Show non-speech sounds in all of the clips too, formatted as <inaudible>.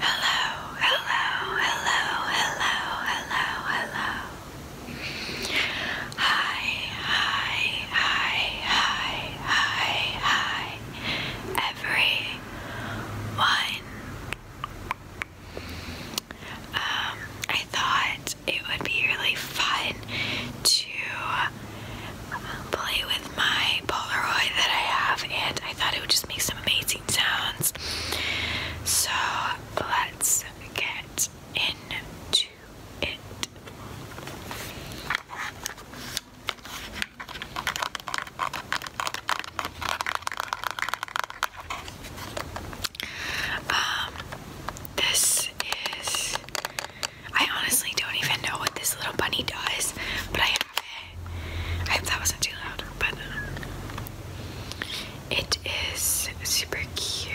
Hello, hello, hello, hello, hello, hello. Hi, hi, hi, hi, hi, hi. Every one um, I thought it would be really fun to um, play with my Polaroid that I have, and I thought it would just make some amazing sounds. So let's get into it. Um, this is. I honestly don't even know what this little bunny does, but I have it. I hope that wasn't too loud, but it is super cute.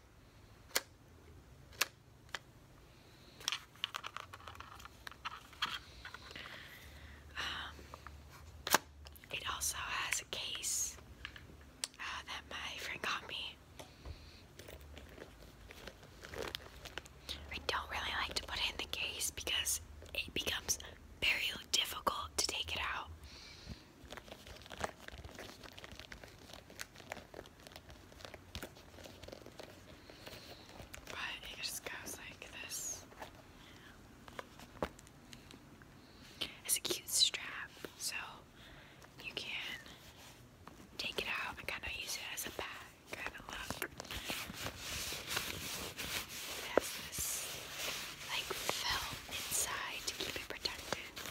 Um, it also has a case uh, that my friend got me. I don't really like to put it in the case because it becomes very difficult to take it out. But it just goes like this. It's a cute strap, so you can take it out and kind of use it as a bag kind of look. this like film inside to keep it protected.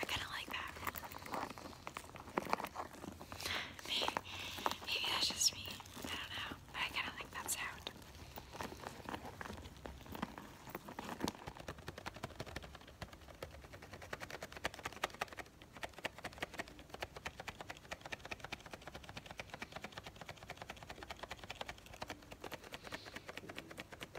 I kind of like that. Maybe, maybe that's just me. I don't know. But I kind of like that sound.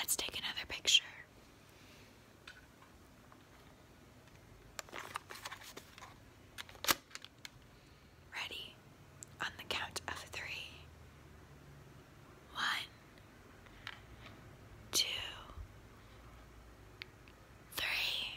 Let's take another picture. Ready on the count of three. One, two, three.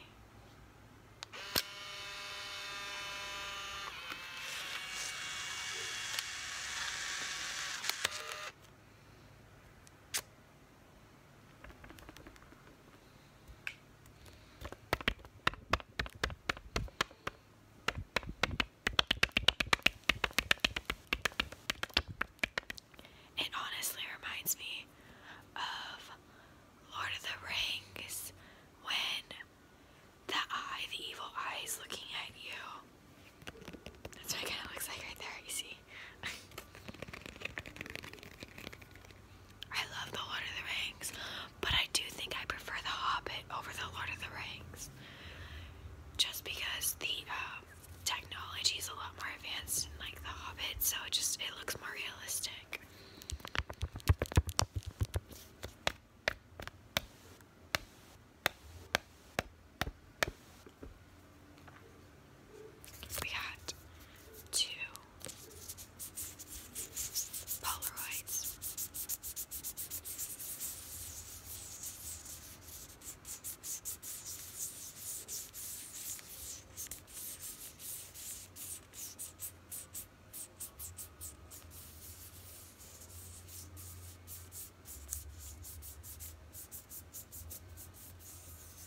It honestly reminds me of Lord of the Rings when the eye, the evil eye, is looking at you. That's what it kind of looks like right there, you see? <laughs> I love The Lord of the Rings, but I do think I prefer The Hobbit over The Lord of the Rings. Just because the uh, technology is a lot more advanced in like The Hobbit, so it just it looks more realistic. We got two Polaroids.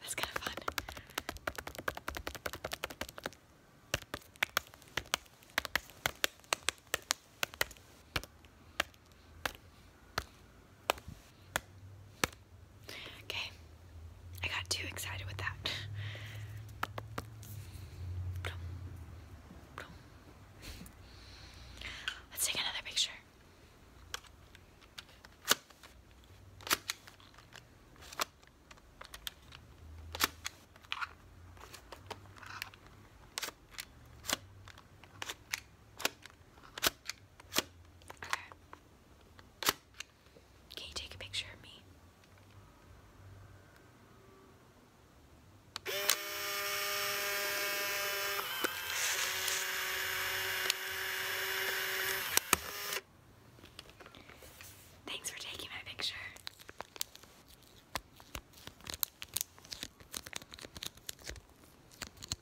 That's kind of fun. Okay, I got too excited with that. Let's take another picture. Okay. Can you take a picture of me? Thanks for taking my picture.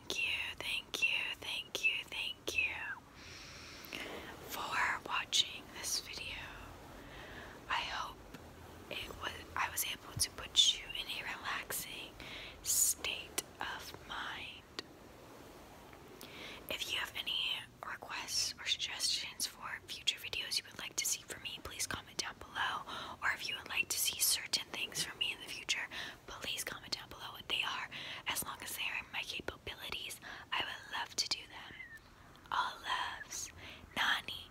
thank you, thank you, thank you, thank you for watching this video. I hope it was I was able to put you in a relaxing state of mind. If you have any requests or suggestions for future videos you would like to see from me, please comment down below. Or if you would like to see certain things from me in the future, please comment down below what they are. As long as they are in my capabilities, I would love to do them. All loves, Nani